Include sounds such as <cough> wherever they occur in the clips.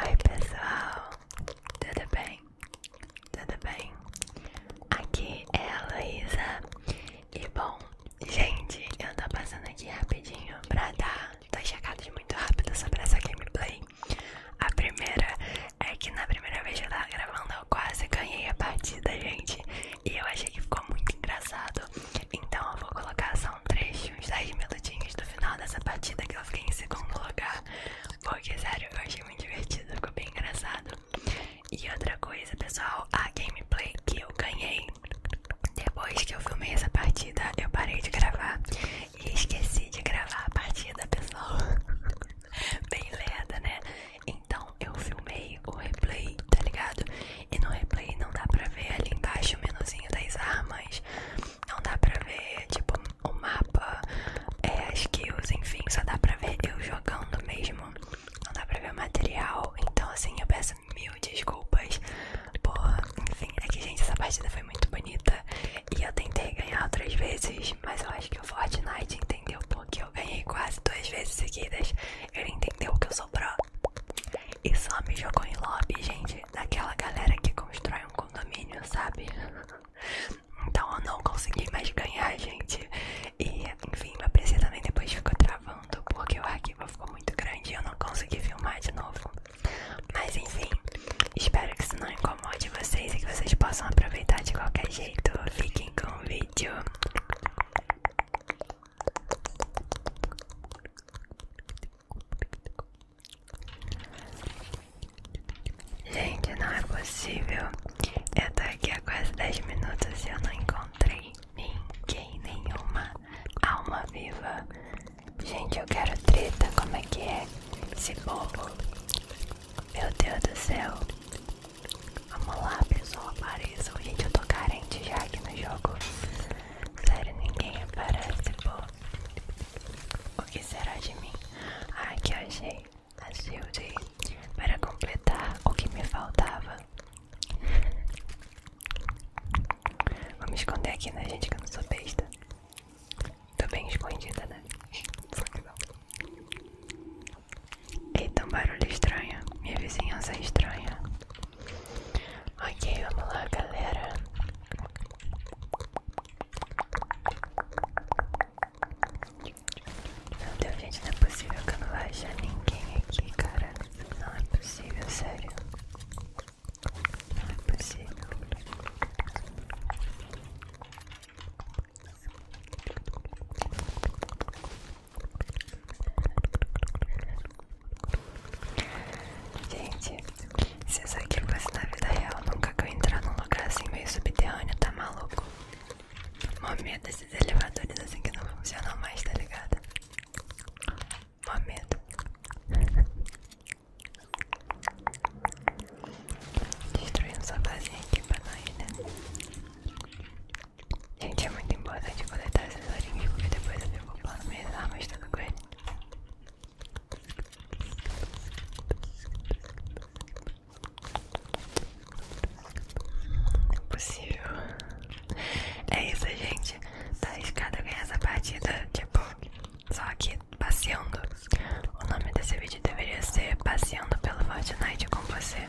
Oi pessoal, tudo bem? Tudo bem? Aqui é a Luísa E bom, gente, eu tô passando aqui rapidinho pra dar dois chegados muito rápido sobre essa gameplay A primeira é que na primeira vez que eu tava gravando eu quase ganhei a partida, gente E eu achei que ficou muito engraçado Então eu vou colocar só um trecho, uns 10 minutinhos do final dessa partida que eu fiquei em segundo lugar. Porque, sério, eu achei muito divertido, ficou bem engraçado. E outra coisa, pessoal, a gameplay que eu ganhei depois que eu filmei essa partida, eu parei de gravar e esqueci de gravar a partida, pessoal. <laughs> bem lenta né? Então eu filmei o replay, tá ligado? E no replay não dá pra ver ali embaixo o menuzinho das armas, não dá pra ver, tipo, o mapa, é, as kills, enfim, só dá pra ver eu jogando mesmo. Não dá pra ver o material, então assim, eu peço mil desculpas. Porra, enfim, é que gente, essa partida foi muito bonita. E eu tentei ganhar outras vezes, mas eu acho que o Fortnite entendeu porque eu ganhei quase duas vezes seguidas. Ele entendeu o que eu sou pro. E só me jogou em lobby, gente daquela galera que constrói um condomínio, sabe? Então eu não consegui mais ganhar, gente. E enfim, meu PC também depois ficou travando porque o arquivo ficou muito grande e eu não consegui filmar de novo. Mas enfim, espero que isso não incomode vocês e que vocês possam aproveitar de qualquer jeito. Fiquem com o vídeo. Gente, não é possível. Eu tô aqui há quase 10 minutos e eu não encontrei ninguém, nenhuma alma viva. Gente, eu quero treta. Como é que é esse bobo? Meu Deus do céu. Vamos lá, pessoal, apareçam. Gente, eu tô carente já aqui no jogo. Sério, ninguém aparece, pô. O que será de mim? Ah, que achei a Shield para completar o que me faltava. Vou me esconder aqui, né, gente? Que eu não sou besta. Tô bem escondida, né? Só que Eita, um barulho estranho. Minha vizinhança é estranha. Ok, vamos lá, galera. Meu Deus, gente, não é possível que eu não vá achar ninguém aqui, cara. Não é possível, sério. Não é possível. Gente, se isso aqui fosse na vida real, nunca que eu entrar num lugar assim meio subterrâneo, tá maluco? Momento desses elevadores assim que não funcionam mais, tá ligado? Momento. Destruindo um sofazinho aqui pra nós, né? Gente, é muito importante coletar esses olhinhos porque depois eu vou fico plano minhas armas, tudo com ele. Impossível. É isso, gente. Tá arriscado ganhar essa partida, tipo, só que passeando. O nome desse vídeo deveria ser Passeando pelo Fortnite com você.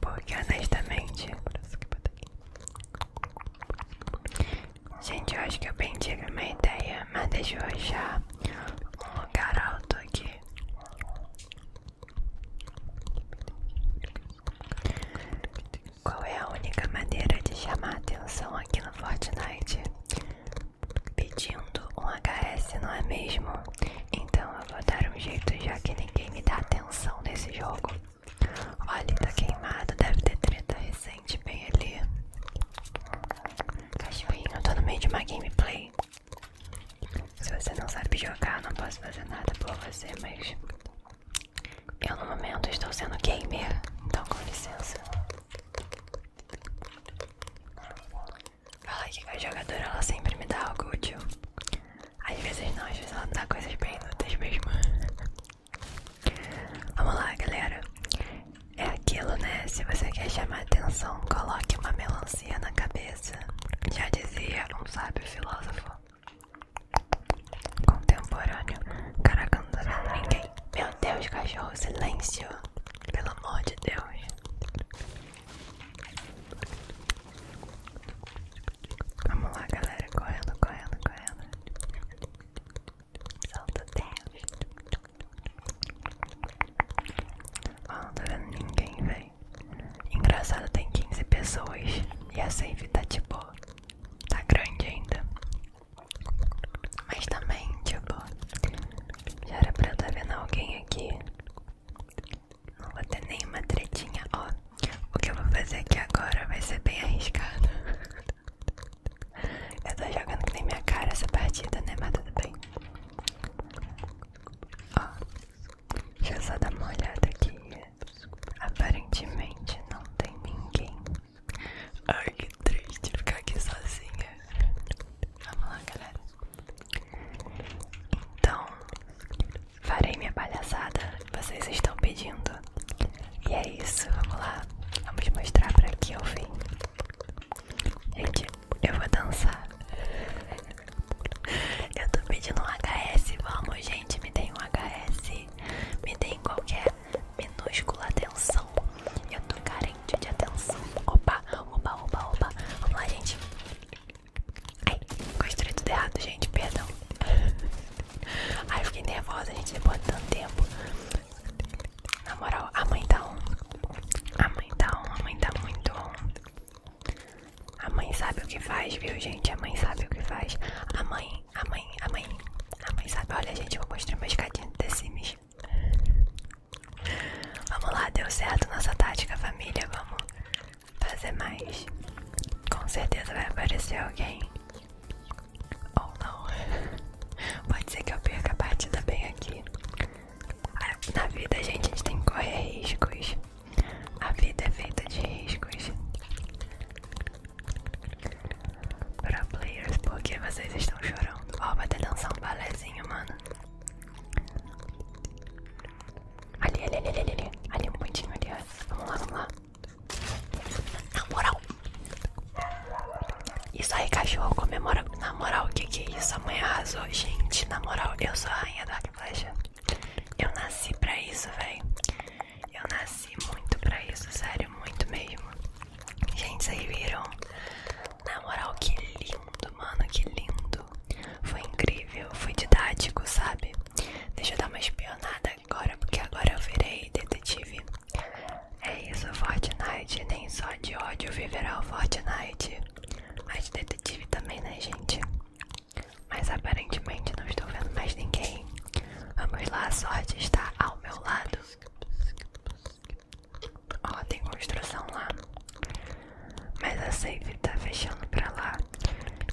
Porque honestamente Gente, eu acho que eu bem tive uma ideia, mas deixa eu achar um lugar alto aqui. Qual é a única maneira de chamar atenção aqui no Fortnite? Pedindo um HS, não é mesmo? Então eu vou dar um jeito já que ninguém me dá atenção nesse jogo. Olha, tá queimado, deve ter treta recente bem ali. Cachorrinho, eu tô no meio de uma gameplay. Se você não sabe jogar, não posso fazer nada por você, mas eu no momento estou sendo gamer, então com licença. Fala que a jogadora ela sempre me dá algo útil. Às vezes não, às vezes ela me dá coisas bem inúteis mesmo. Vamos lá, galera. É aquilo, né? Se você quer chamar atenção, coloque uma melancia na cabeça. Já dizia um sábio filósofo contemporâneo. Caraca, não ninguém. Meu Deus, cachorro, silêncio. Pelo amor de Deus. Vamos lá, galera. Correndo, correndo, correndo. Solta o tempo. Ó, não tá vendo ninguém, velho. Engraçado, tem 15 pessoas. E a save tá tipo. Tá grande ainda. Mas também, tipo. Já era pra eu estar tá vendo alguém aqui. Não vou ter nenhuma tretinha, ó. O que eu vou fazer aqui agora vai ser bem arriscado. <laughs> Eu tô jogando que nem minha cara essa partida, né? Mas tudo bem. Ó, deixa eu só dar uma olhada aqui. Aparentemente não tem ninguém. Ai, que triste ficar aqui sozinha. Vamos lá, galera. Então, farei minha palhaçada. Vocês estão pedindo. E é isso, vamos lá. Vamos mostrar pra que eu vim. Gente, eu vou dançar. Eu tô pedindo um HS, vamos gente, me dê um HS. Me dê em qualquer minúscula atenção. Eu tô carente de atenção. Opa, opa, opa, opa. Vamos lá, gente. Ai, construí tudo errado, gente, perdão. Ai, fiquei nervosa, a gente, depois de tanto tempo. Na moral, a mãe tá um. A mãe tá um, a mãe tá muito um. A mãe sabe o que faz, viu, gente? A mãe sabe o que faz. A mãe, a mãe, a mãe. A mãe sabe. Olha, gente, eu vou mostrar meus cadinhos de Sims. Vamos lá, deu certo nossa tática, família. Vamos fazer mais. Com certeza vai aparecer alguém ou não. <laughs> Pode ser que eu perca a partida bem aqui. Ah, na vida, gente, a gente tem que correr riscos. A vida é feita de riscos. Para players, porque vocês estão chorando. Ó, oh, até dançar um balézinho, mano. Ali, ali, ali, ali, ali. Ali um pontinho ali, Vamos lá, vamos lá. Na moral. Isso aí, cachorro, comemora. Na moral, o que que é isso? Amanhã arrasou. Gente, na moral, eu sou a rainha da flecha. Eu nasci pra isso, velho. Eu nasci muito pra isso, sério, muito mesmo. Gente, vocês viram? Na moral, que lindo, mano, que lindo. Foi incrível, foi didático, sabe? Deixa eu dar uma espionada agora, porque agora eu virei detetive. É isso, Fortnite. Nem só de ódio viverá o Fortnite. Mas detetive também, né, gente? Mas aparentemente não estou vendo mais ninguém. Vamos lá, a sorte está ao meu lado. Ó, tem construção lá. Mas a safe tá fechando pra lá.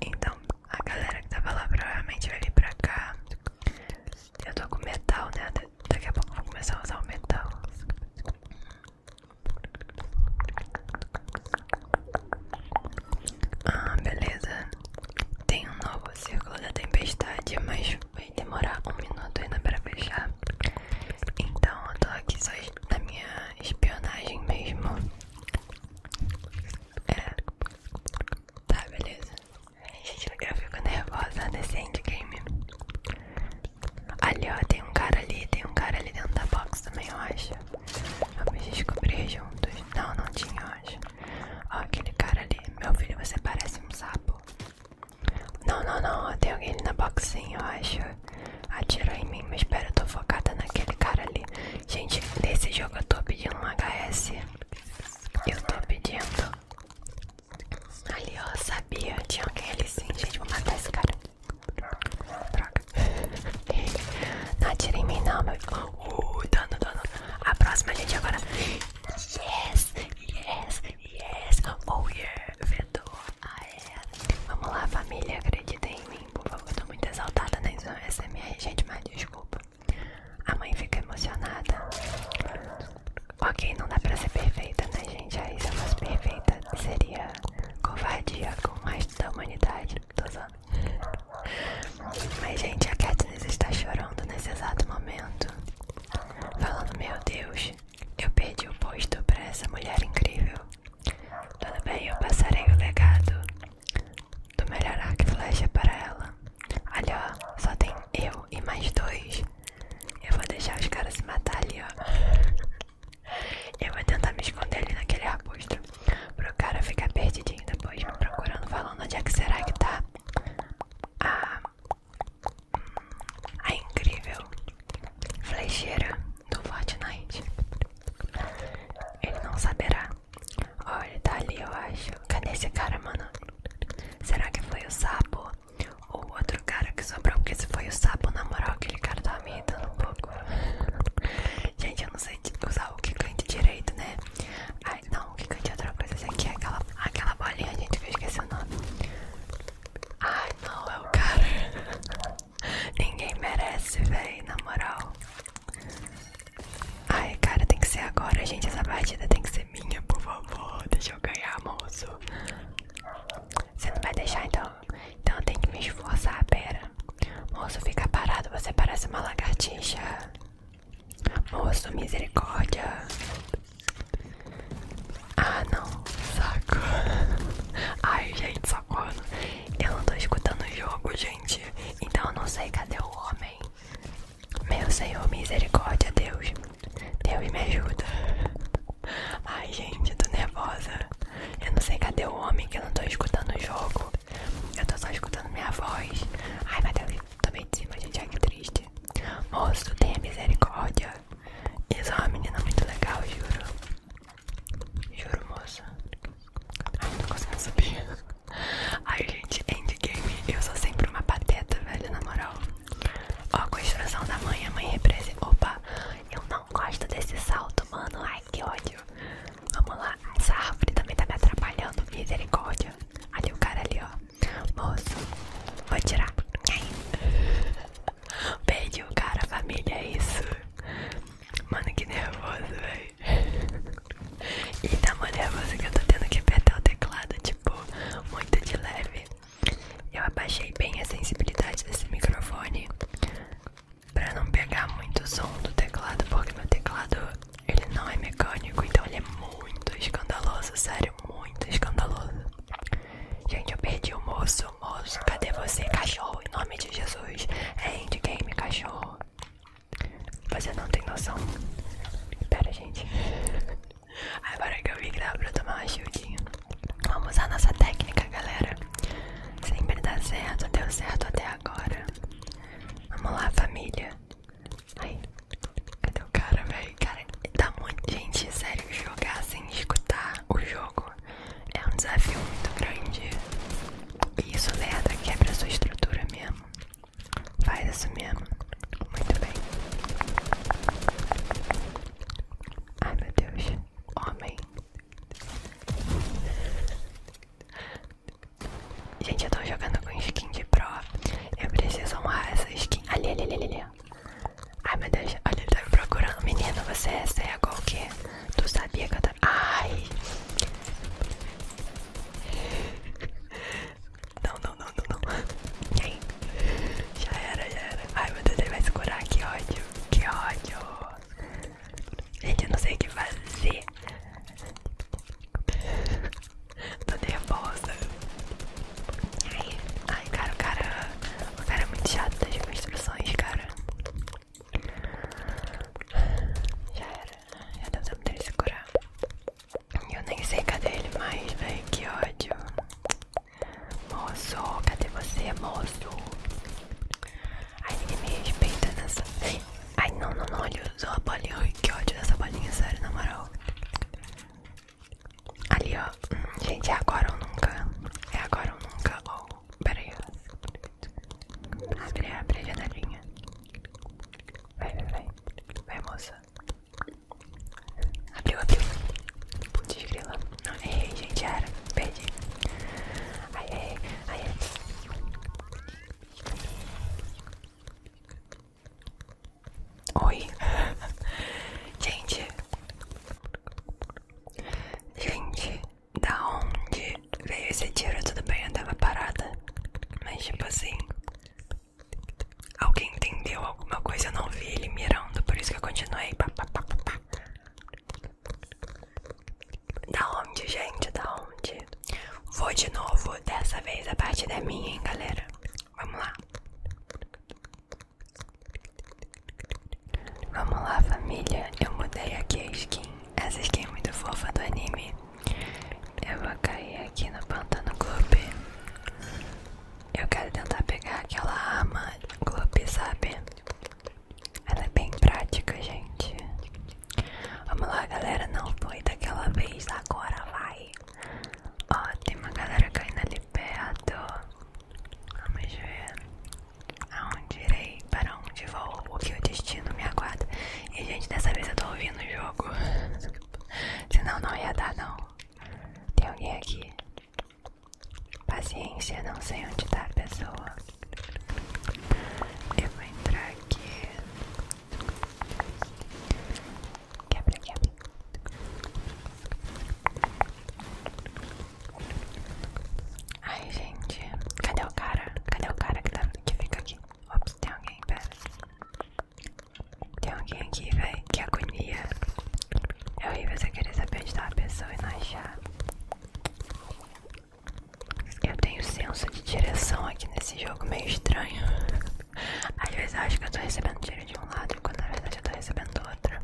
Então, a galera que tava lá provavelmente vai vir pra cá. Eu tô com metal, né? Daqui a pouco eu vou começar a usar o metal. Ah, beleza. Tem um novo círculo da tempestade, mas vai demorar um minuto ainda pra fechar. Então eu tô aqui só na minha espionagem mesmo. É, Tá, beleza. Gente, eu fico nervosa nesse endgame. Ali, ó, tem um cara ali, tem um cara ali dentro da box também, eu acho. Vamos descobrir juntos. Não, não tinha, eu acho. Ó, aquele cara ali. Meu filho, você parece um sapo. Não, não, não, tem alguém ali na box sim, eu acho. Atirou em mim, mas espera, eu tô focada naquele cara ali. Gente, nesse jogo eu tô pedindo um HS eu tô pedindo. Ali, ó, sabia. Tinha alguém ali sim. Gente, vou matar esse cara. Droga. Não atira em mim, não, meu. Uh, A próxima, gente, agora. Yes, yes, yes. Oh, yeah. Fedor. a ah, ela. É. Vamos lá, família. Acredita em mim, por favor. Eu tô muito exaltada na SMR, gente, mas desculpa. A mãe fica emocionada. Ok, não dá pra ser perfeita, né, gente? Aí se eu fosse perfeita, seria covardia com o resto da humanidade. Tô usando. Mas, gente, a Katniss está chorando nesse exato momento. Falando, meu Deus, eu perdi o posto pra essa mulher incrível. Tudo bem, eu passarei o legado do melhor arco e flecha para ela. Ali ó, só tem eu e mais dois. Eu vou deixar os caras se matar ali ó. Eu vou tentar me esconder ali naquele arbusto. Pro cara ficar perdidinho depois me procurando, falando onde é que será que tá a, ah, a incrível flecheira do Fortnite. Ele não saberá. Olha, tá ali, eu acho. Cadê esse cara, mano? Será que foi o sapo? Ou o outro cara que sobrou? Porque se foi o sapo, na moral, aquele cara tava tá me irritando um pouco. Gente, eu não sei usar o quicante direito, né? Ai, não, o quicante é outra coisa. Esse aqui é aquela, aquela bolinha, gente, que eu esqueci o nome. Ai, não, é o cara. <laughs> Ninguém merece, véi, na moral. Ai, cara, tem que ser agora, gente. Essa partida tem que ser minha, por favor. Deixa eu ganhar, moço. Você não vai deixar, então? Então eu tenho que me esforçar, pera. Moço, fica parado, você parece uma lagartixa. Moço, misericórdia. Ah, não, saco. <laughs> Ai, gente, socorro. Eu não tô escutando o jogo, gente. Então eu não sei cadê o homem. Meu Senhor, misericórdia, Deus. Deus me ajuda. Ai, gente, eu tô nervosa. Eu não sei cadê o homem que eu não tô escutando o jogo. Eu tô só escutando minha voz. Ai, meu Deus, bem de cima, gente. Ai, que triste. Moço, tenha misericórdia. Isso é uma menina muito legal, juro. Juro, moça. Ai, não tô conseguindo subir. Ai, gente, endgame. Eu sou sempre uma pateta, velho, na moral. Ó, a construção da mãe, a mãe represa. Opa, eu não gosto desse salto, mano. Ai, que ódio. Vamos lá, essa árvore também tá me atrapalhando. Misericórdia. Ali o cara ali, ó. Moço, vou tirar. Perdi o cara, família, é isso. Mano, que nervoso, velho. E da maneira que eu tô tendo que apertar o teclado, tipo, muito de leve. Eu abaixei bem a sensibilidade desse microfone pra não pegar muito som do teclado, porque meu teclado ele não é mecânico, então ele é muito escandaloso, sério, muito escandaloso. Gente, eu perdi o moço, moço, cadê você, cachorro? Em nome de Jesus, é endgame, cachorro. Você não tem noção. Pera, gente. Agora que eu vi que dava pra tomar uma shieldinha. Vamos usar nossa técnica, galera. Sempre dá certo, deu certo até agora. Vamos lá, família. Ai, cadê o cara, velho? Cara, dá tá muito. Gente, sério, jogar sem escutar o jogo é um desafio muito grande isso leda quebra a sua estrutura mesmo. Faz isso mesmo. Muito bem. Ai meu Deus. Homem. Gente, eu tô jogando com skin de pro. Eu preciso honrar essa skin. Ali, ali, ali, ali. Ai meu Deus, olha, ele tá me procurando. Menino, você é cego ou o quê? Tu sabia que eu Ai. Não, não, não, não, não. E Já era, já era. Ai, meu Deus, ele vai segurar. Que ódio. Que ódio. Gente, eu não sei o que fazer. Tô nervosa. Ai, ai, cara, o cara. O cara é muito chato das minhas instruções, cara. Já era, já deu tempo dele se curar. Eu nem sei cadê ele mais, velho. Que ódio. Moço, cadê você, moço? Ai, ninguém me respeita nessa. Ai, não, não, não. Ele usou a bolinha. que ódio dessa bolinha, sério, na moral. Ali, ó. Gente, é agora ou nunca? É agora ou nunca? ou oh, peraí. Abre, abre a janelinha. Vai, vai, vai. Vai, moça. Abriu, abriu. Desgrila. Não, errei, gente. Era. Perdi. ai, ai, ai. Oi. <laughs> gente. Gente da onde veio esse tiro, tudo bem, eu tava parada. Mas tipo assim, alguém entendeu alguma coisa, eu não vi ele mirando, por isso que eu continuei. Da onde, gente? Da onde? Vou de novo, dessa vez a parte da minha, hein, galera? Vamos lá. Vamos lá, família. Eu mudei aqui a skin. Essa skin é muito fofa do anime. Eu vou cair aqui no Pantano Clube. Eu quero tentar pegar aquela arma Clube, sabe? Ela é bem prática, gente. Vamos lá, galera. Não foi daquela vez, agora vai. Ó, tem uma galera caindo ali perto. Vamos ver. Aonde irei? Para onde vou? O que o destino me aguarda? E gente, dessa vez eu tô ouvindo o jogo. <laughs> Senão não ia dar não. Tem alguém aqui? Paciência, não sei onde tá a pessoa. Eu vou entrar aqui. Quebra, quebra. Ai, gente, cadê o cara? Cadê o cara tá, que, fica aqui? Ops, tem alguém, pera. Tem alguém aqui, velho. Que agonia. É horrível você querer saber de tá a pessoa e não achar. Eu tenho senso de direção aqui nesse jogo meio estranho. Às vezes eu acho que eu tô recebendo tiro de um lado, quando na verdade eu tô recebendo do outro.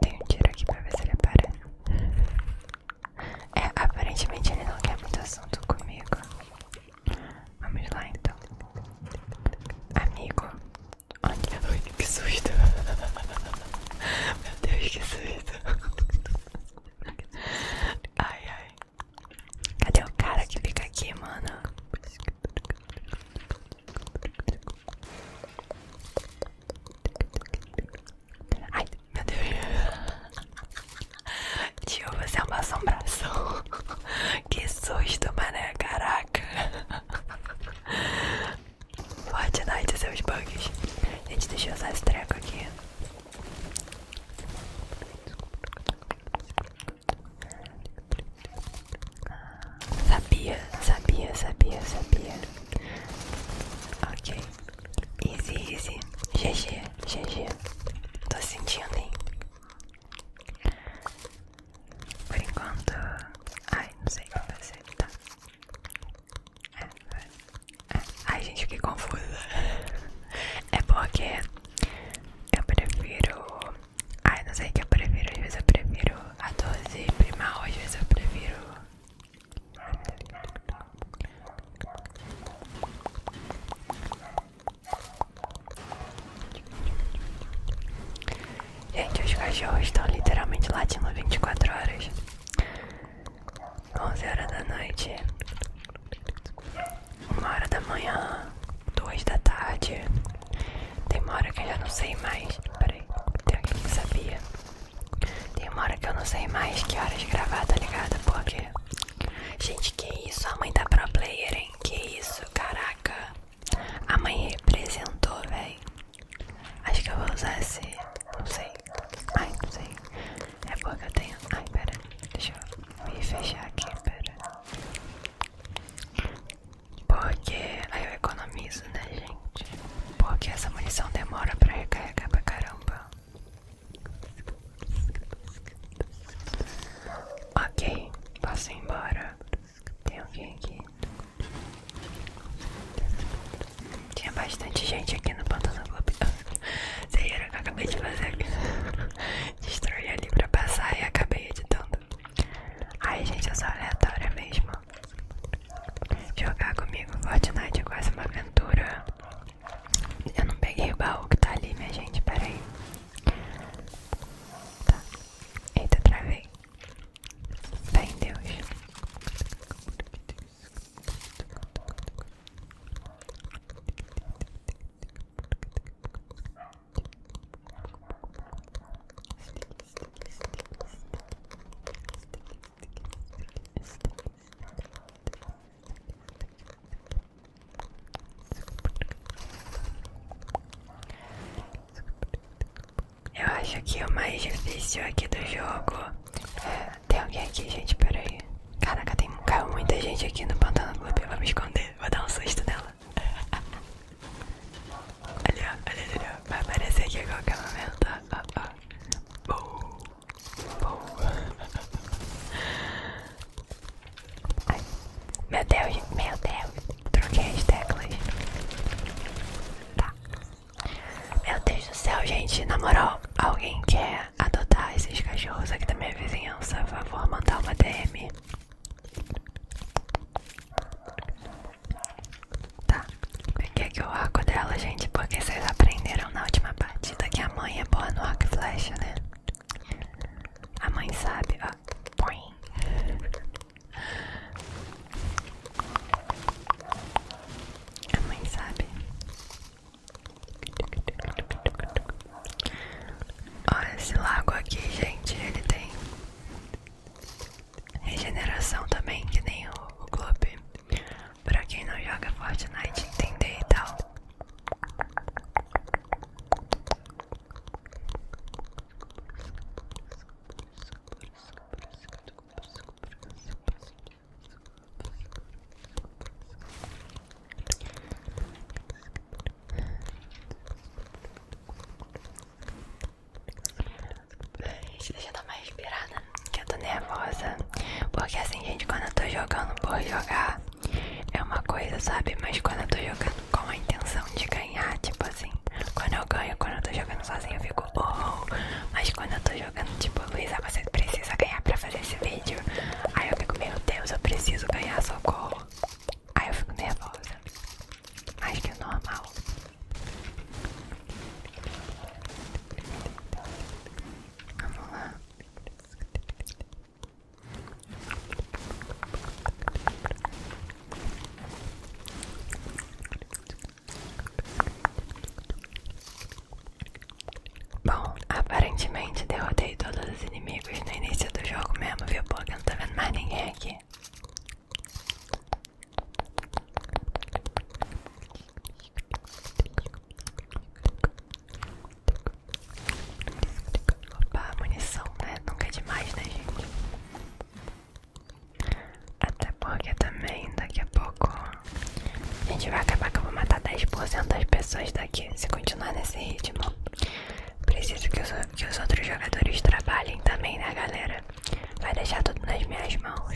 Tem um tiro aqui pra ver se ele aparece. É, aparentemente ele não quer muito assunto comigo. Vamos lá então. Amigo. Olha, Ai, que susto. <laughs> Meu Deus, que susto. Ai, ai. Cadê o cara que fica aqui, mano? Ai, meu Deus. Tio, você é uma assombração. <laughs> Que susto, mané. Caraca. Fortnite, seus bugs. Gente, deixa eu usar esse treco aqui. Sabia, sabia, sabia, sabia. Ok. Easy, easy. GG, GG. Tô sentindo, hein? Por enquanto. Ai, não sei o que fazer. Tá. É, é. Ai, gente, que confusa. É porque eu prefiro. Ai, não sei o que eu prefiro. Às vezes eu prefiro a dose primal, às vezes eu prefiro Gente, os cachorros estão literalmente latindo 24 horas. 11 horas da noite, 1 hora da manhã, 2 da tarde. Tem uma hora que eu já não sei mais. Peraí, tem alguém que sabia. Tem uma hora que eu não sei mais que horas gravar, tá ligado? Porque. Gente, que isso? A mãe tá pro player, hein? Que isso? Caraca. A mãe representou, véi. Acho que eu vou usar esse. Não sei. Ai, não sei. É porque eu tenho. Ai, pera. Deixa eu me fechar aqui, pera. Porque aí eu economizo. Tá, Porque essa munição demora pra recarregar pra caramba. Ok, posso embora. Tem alguém aqui? Tinha bastante gente aqui no Pantano Club. Vocês <laughs> viram o que eu acabei de fazer aqui? <laughs> ali pra passar e acabei editando. Ai, gente, eu sou aleatória mesmo. Jogar comigo Fortnite é quase uma aventura. Eu não peguei o baú que tá ali, minha gente. Pera tá. Eita, travei. Fé em Deus. Eu acho que o mais difícil aqui do jogo é... Tem alguém aqui, gente? Pera aí. Caraca, tem... caiu muita gente aqui no Pantano Clube. Eu vou me esconder, vou dar um susto nela. <laughs> olha, olha, olha. Vai aparecer aqui a qualquer momento. Ó, ó. Boa. Boa. meu Deus, meu Deus. Troquei as teclas. Tá. Meu Deus do céu, gente. Na moral, alguém quer adotar esses cachorros aqui da minha vizinhança? Por favor, mandar uma DM. Tá, peguei aqui o arco dela, gente, porque vocês aprenderam na última partida que a mãe é boa no arco e flecha, né? A mãe sabe, ó. Boing. A mãe sabe. Olha esse lago aqui, gente. Ele tem regeneração também, que nem o, o clube. Pra quem não joga Fortnite entender e tal. Deixa eu dar uma respirada, que eu tô nervosa. Porque assim, gente, quando eu tô jogando por jogar, é uma coisa, sabe? Mas quando eu tô jogando com a intenção de ganhar, tipo assim, quando eu ganho, quando eu tô jogando sozinho eu fico oh! Mas quando eu tô jogando, tipo, Luísa, ah, você precisa ganhar pra fazer esse vídeo. Aí eu fico, meu Deus, eu preciso ganhar, socorro. Aí eu fico nervosa. Mas que é normal. Vamos lá. Bom, aparentemente derrotei todos os inimigos no início do jogo mesmo, viu? Porque não tá vendo mais ninguém aqui. Opa, munição, né? Nunca é demais, né, gente? Até porque também daqui a pouco a gente vai acabar que eu vou matar 10% das pessoas daqui se continuar nesse ritmo. Preciso que os, que os outros jogadores trabalhem também, né, galera? Vai deixar tudo nas minhas mãos.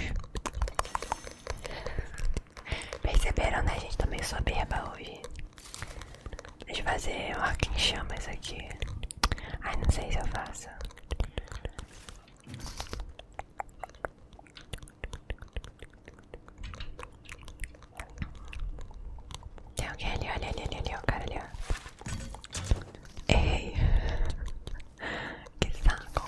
Perceberam, né? A gente também tá soberba hoje. Deixa eu fazer um arco em chamas aqui. Ai, não sei se eu faço. Tem alguém ali, olha ali, ali, ali, o cara ali, ó. Errei que saco.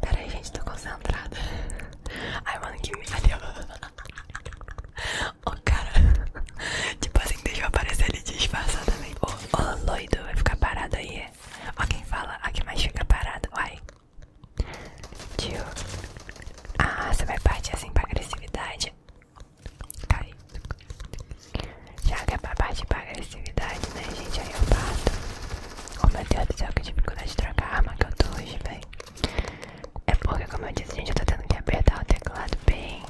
Peraí, gente, tô concentrada. Ai, mano, que me O oh, cara, tipo assim, deixa eu aparecer ele disfarçadamente. Ô, oh, oh, loido, vai ficar parado aí. É? Ó, quem fala, a mais fica parado. Uai, Tio. Ah, você vai partir assim pra agressividade. Cai. Já que é pra partir pra agressividade, né, gente? Aí eu bato. Oh, meu Deus do céu, que dificuldade de trocar a arma que eu tô hoje, velho. É porque, como eu disse, gente, eu tô tendo que apertar o teclado bem,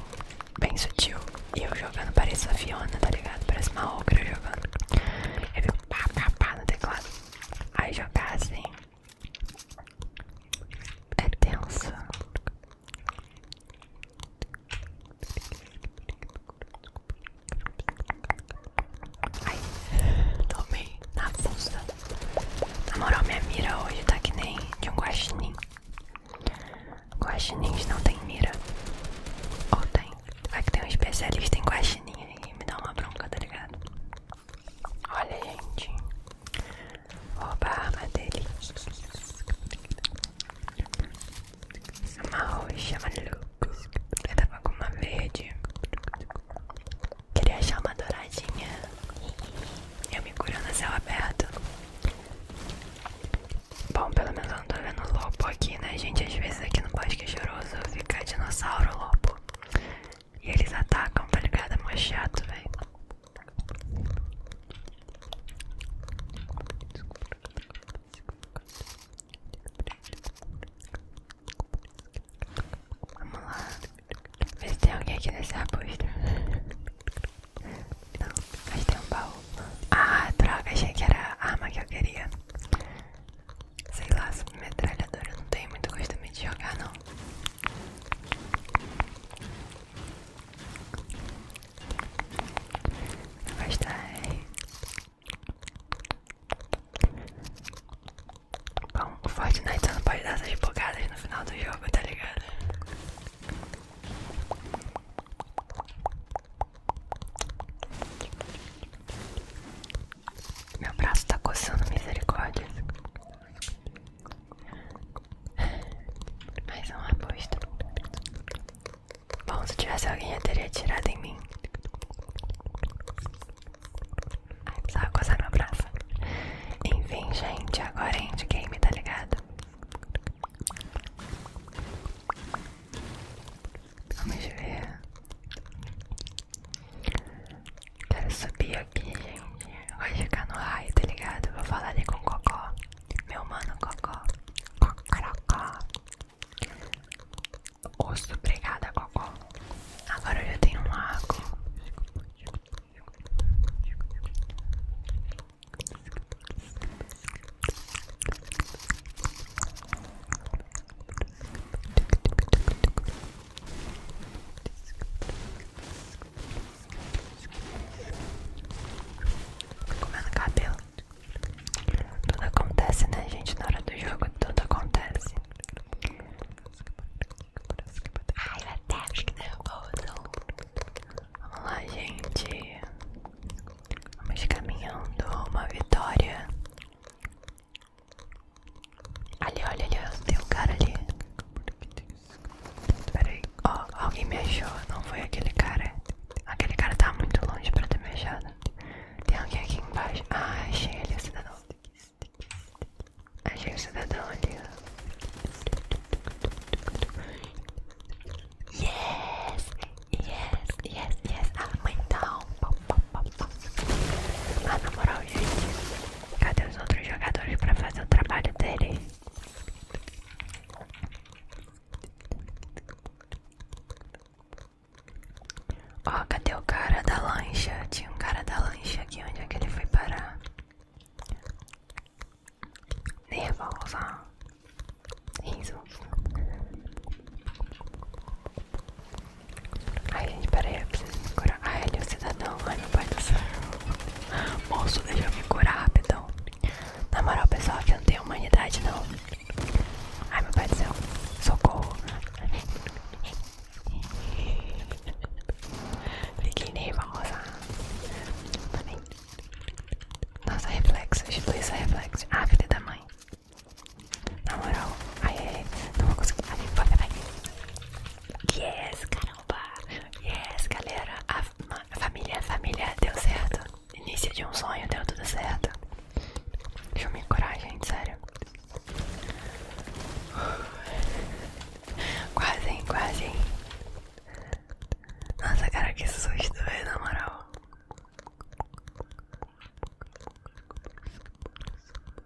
bem sutil. E eu jogando pareço a Fiona, tá ligado? Parece uma ogra jogando. Eu fico pá, pá, pá no teclado. Aí jogar assim é tensa. Ai, tomei na fusta. Na moral, minha mira hoje tá que nem de um guaxinim. Guaxinins não tem mira. Ou tem. Vai é que tem um especialista em guaxinim aí. Me dá uma bronca, tá ligado? Olha, gente. Roubar a madeira. Uma roxa, maluco. Eu tava com uma verde. Queria achar uma douradinha. Eu me curo no céu aberto. Bom, pelo menos eu não tô vendo lobo aqui, né, gente? Às vezes aqui no bosque choroso fica dinossauro lobo. E eles atacam, tá ligado? É mó chato, velho. Vamos lá. Ver se tem alguém aqui nesse arbusto. Não, mas tem um baú. Ah, droga, achei que era a arma que eu queria. Sei lá, metralhadora. Eu não tenho muito costume de jogar, não vai estar. Bom, o Fortnite não pode dar essas bocadas no final do jogo, tá ligado? Meu braço tá coçando misericórdia. Mais um arbusto. Bom, se tivesse alguém, eu teria tirado em mim. Só precisava coçar meu braço. Enfim, gente, agora é endgame, tá ligado? Vamos ver. Quero subir aqui, gente. Vai ficar no raio, tá ligado? Vou falar ali com o Cocó. Meu mano, Cocó. Cocorocó. Osso, obrigada, Cocó. Agora eu já tenho um lago. Comendo cabelo. Tudo acontece, né, gente? Na hora do jogo, tudo acontece. Ai, eu até acho que nervoso. Vamos lá, gente. Vamos caminhando uma vitória Ali, olha, ali, tem um cara ali. Peraí, ó, alguém me achou, não foi aquele cara. Aquele cara tá muito longe pra ter me achado. Tem alguém aqui embaixo. Ah, achei ele, o cidadão. Achei o cidadão ali, Yes, yes, yes, yes. Ah, mãe, então. Tá. Pop, ah, na moral, gente, cadê os outros jogadores pra fazer o trabalho dele? Ó, cadê o cara da lancha? Tinha um cara da lancha aqui, onde é que ele foi parar? Nervosa Risos Ai, gente, peraí, eu preciso me curar. Ai, ele é um cidadão. Ai, meu pai do céu. Moço, deixa eu me curar rapidão. Na moral, pessoal, aqui não tem humanidade, não. Ai, meu pai do céu. Socorro. Fiquei nervosa. Também. Nossa, reflexo. Luísa, reflexo. Ah, filha da mãe. Na moral. Ai, ai, ai. Não vou conseguir. Ai, vai, vai. Yes, caramba! Yes, galera! A, família, a família deu certo. Início de um sonho, deu tudo certo. Deixa eu me curar, gente, sério. Quase, hein, quase, hein. Nossa, cara, que susto, velho, na moral.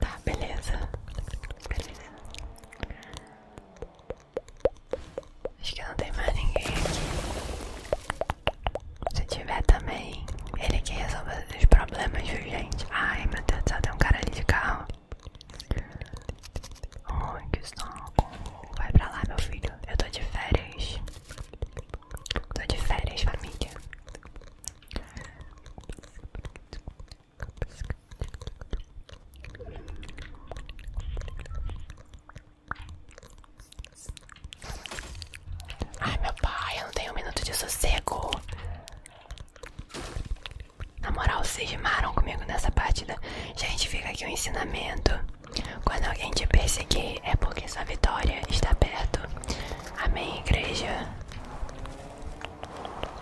Tá, beleza. Beleza. Acho que não tem mais ninguém aqui. Se tiver também, ele que resolve os problemas, viu, gente? Ai, meu Deus do céu, tem um cara ali de carro. Ai, que saco. Vai pra lá, meu filho. Eu tô de férias. Tô de férias, família. Ai meu pai, eu não tenho um minuto de sossego. Na moral, vocês rimaram comigo nessa partida. Gente, fica aqui o um ensinamento. Quando alguém te perseguir, é porque sua vitória está perto. Amém, igreja.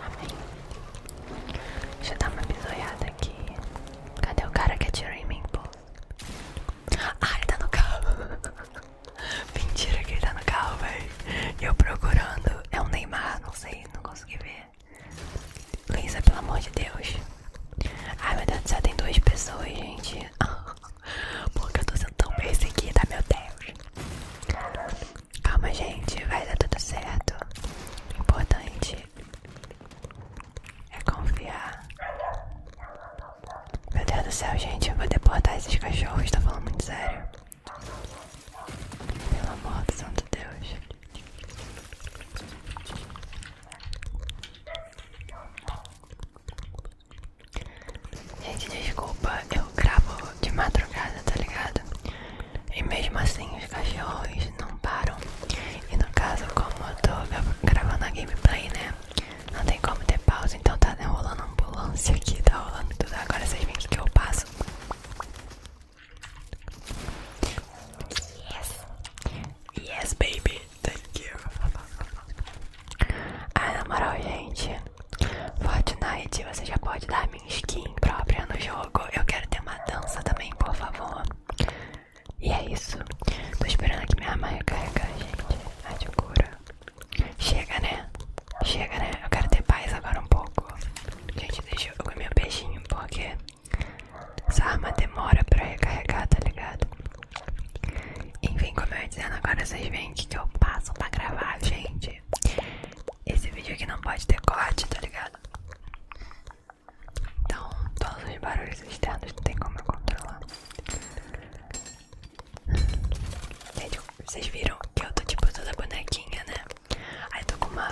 Amém. Deixa eu dar uma bisoiada aqui. Cadê o cara que atirou em mim, Ah, ele tá no carro. <laughs> Mentira que ele tá no carro, velho. Eu procurando. É o Neymar, não sei, não consegui ver. Luísa, pelo amor de Deus. Ai, meu Deus do céu, tem duas pessoas, gente. <laughs> Porque eu tô sendo tão perseguida, meu Deus. Calma, gente, vai dar tudo certo. O importante é confiar. Meu Deus do céu, gente, eu vou deportar esses cachorros, tô falando muito sério. Pelo amor do santo Deus. Gente, desculpa, eu gravo de madrugada, tá ligado? E mesmo assim os cachorros não param. E no caso, como eu tô gravando a gameplay, né? Não tem como ter pausa, então tá né, rolando ambulância aqui, tá rolando tudo. Agora vocês veem o que eu passo. Yes! Yes, baby! Thank you! ah na moral, gente. Fortnite, você já pode dar minha skin própria no jogo. Eu quero ter uma dança também, por favor. E é isso. Tô esperando aqui minha arma recarregar, gente. A de cura. Chega, né? Chega, né? Eu quero ter paz agora um pouco. Gente, deixa eu comer meu beijinho, porque essa arma demora pra recarregar, tá ligado? Enfim, como eu ia dizendo, agora vocês veem que eu passo pra gravar, gente esse vídeo aqui não pode ter corte, tá ligado? Então, todos os barulhos externos não tem como eu controlar. Gente, vocês viram que eu tô tipo toda bonequinha, né? Aí tô com uma,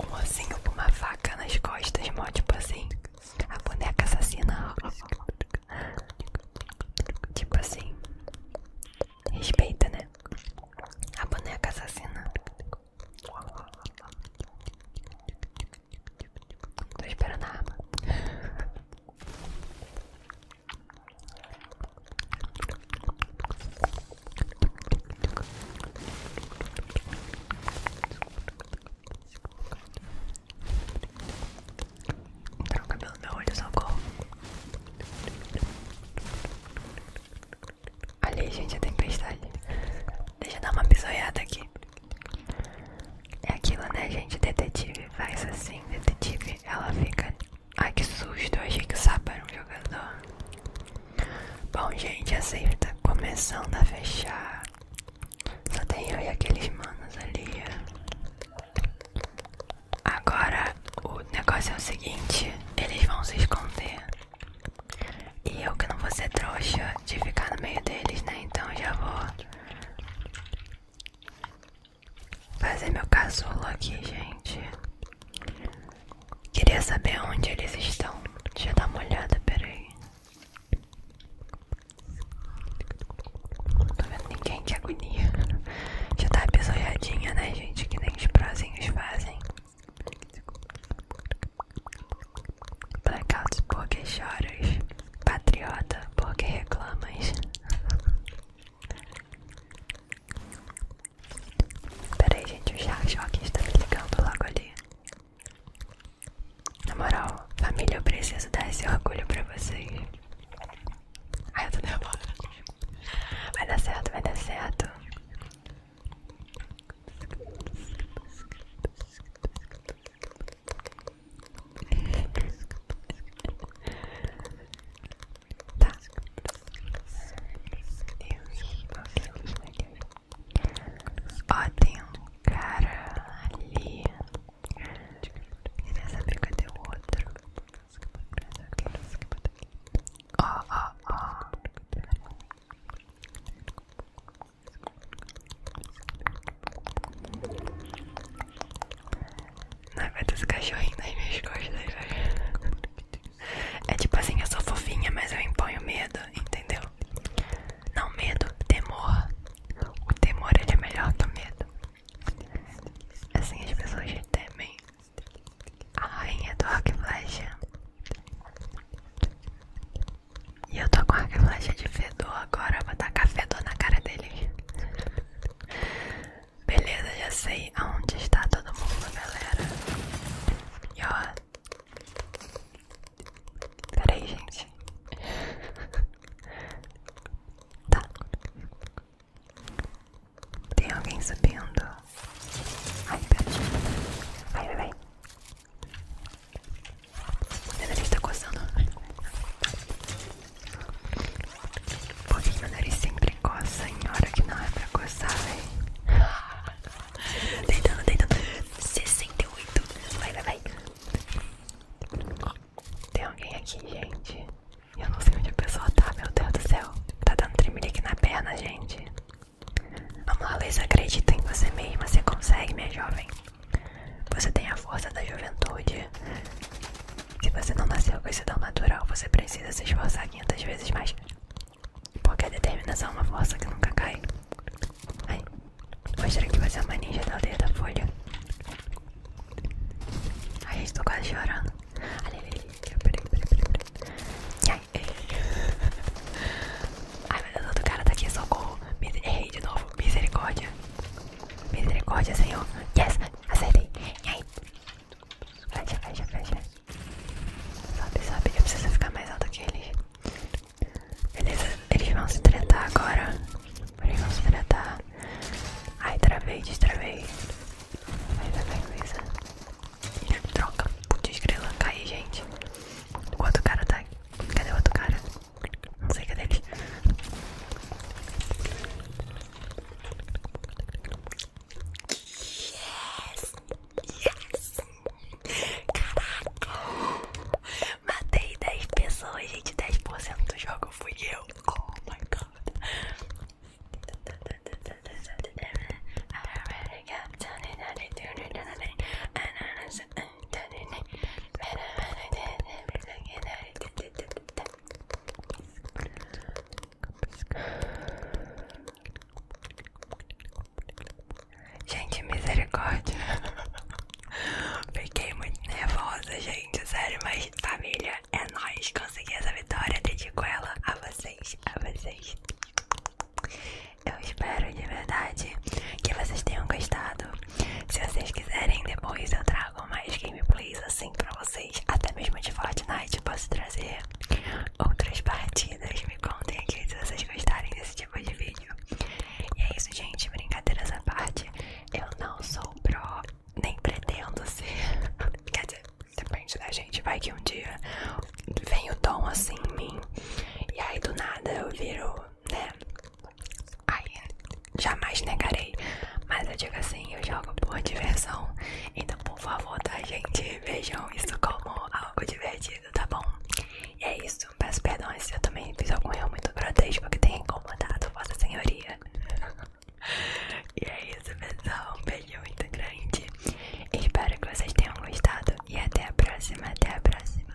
um ossinho com uma faca nas costas, tipo assim. A boneca assassina. Tipo assim. Respeita, né? A boneca assassina. Tô esperando a arma. Tá no meu olho, socorro. Olha aí, gente, a tempestade. Deixa eu dar uma bisoiada aqui. É aquilo, né, gente? Detetive faz assim, detetive. Ela fica. Ai, que susto! Eu achei que o sapo era um jogador. Bom, gente, a safe tá começando a fechar. Só tem eu e aqueles manos ali. Agora o negócio é o seguinte: eles vão se esconder. E eu que não vou ser trouxa de ficar no meio deles, né? Então já vou fazer meu casulo aqui, gente. Queria saber onde eles estão. Deixa eu dar uma olhada, peraí. Tô tá vendo ninguém, que agonia. Já tá apesojadinha, né, gente? Que nem os prozinhos fazem. Blackouts porque choras. Patriota porque reclamas. Peraí, gente, o Shark está me ligando logo ali. Na moral, família, eu preciso dar esse orgulho pra vocês. Ai, eu tô nervosa. Vai dar certo, vai dar certo. Tá. Deus, meu Deus. Ó, tem um cara ali. Queria saber cadê o outro. Ó, ó, ó. Ai, vai ter esse cachorrinho nas minhas costas, velho. É tipo assim, eu sou fofinha, mas eu imponho medo, entendeu? Não medo, temor. O temor é de melhor que medo. Assim as pessoas temem a rainha do rock E eu tô com a de fedor agora, vou tacar fedor na cara deles. Beleza, já sei aonde está todo mundo, galera. E ó. Peraí, gente. <laughs> tá. Tem alguém sabendo? Ai, pertinho. Vai, vai, vai. Meu nariz tá coçando. Por que meu nariz sempre coça em hora que não é pra coçar, velho? <laughs> Deitando, deitando. 68. Vai, vai, vai. Tem alguém aqui, gente. Eu não sei onde a pessoa tá, meu Deus do céu. Tá dando tremelique na perna, gente. Vamos lá, Luiz, acredita em você mesma. Você consegue, minha jovem. Você tem a força da juventude. Se você não nasceu com esse dom natural, você precisa se esforçar 500 vezes mais. Porque a determinação é uma força que nunca cai. Ai, mostra que você é uma ninja da aldeia da folha. Ai, estou tô quase chorando. Ali, ali, ali. Peraí, peraí, Ai, meu Deus, outro cara tá aqui, socorro. Errei de novo. Misericórdia. Misericórdia, Senhor. Yes, acertei. E aí? Fecha, fecha, fecha. Sobe, sobe. Eu preciso ficar mais alto que eles. Beleza, eles vão se tretar agora. Porém, vamos tratar. Ai, travei, destravei. Tá Mas a coisa. Troca. Putz, grila. cai gente. O outro cara tá. Cadê o outro cara? Não sei cadê ele. Yes! Yes! Caraca! Matei 10 pessoas, gente. 10% do jogo fui eu. Oh my god! Gente, misericórdia. Fiquei muito nervosa, gente. Sério, mas família, É nós conseguir essa vitória. Dedico ela a vocês, a vocês. Eu espero de verdade que vocês tenham gostado. Se vocês quiserem, depois eu trago mais gameplays assim pra vocês. Até mesmo de Fortnite posso trazer outras partidas. Me contem aqui se vocês gostarem desse tipo de vídeo. E é isso, gente. Brincadeiras à parte. Eu não sou pro, nem pretendo ser. <laughs> Quer dizer, depende da gente. Vai que um dia vem o tom assim em mim. E aí do nada eu viro, né? Aí jamais negarei. Mas eu digo assim, eu jogo por diversão. Então, por favor, da tá, gente? Vejam isso como algo divertido, tá bom? E é isso. Peço perdão se eu também fiz algum erro muito grotesco que tenha incomodado Vossa Senhoria. E é isso, pessoal. Um beijo muito grande. Espero que vocês tenham gostado. E até a próxima. Até a próxima.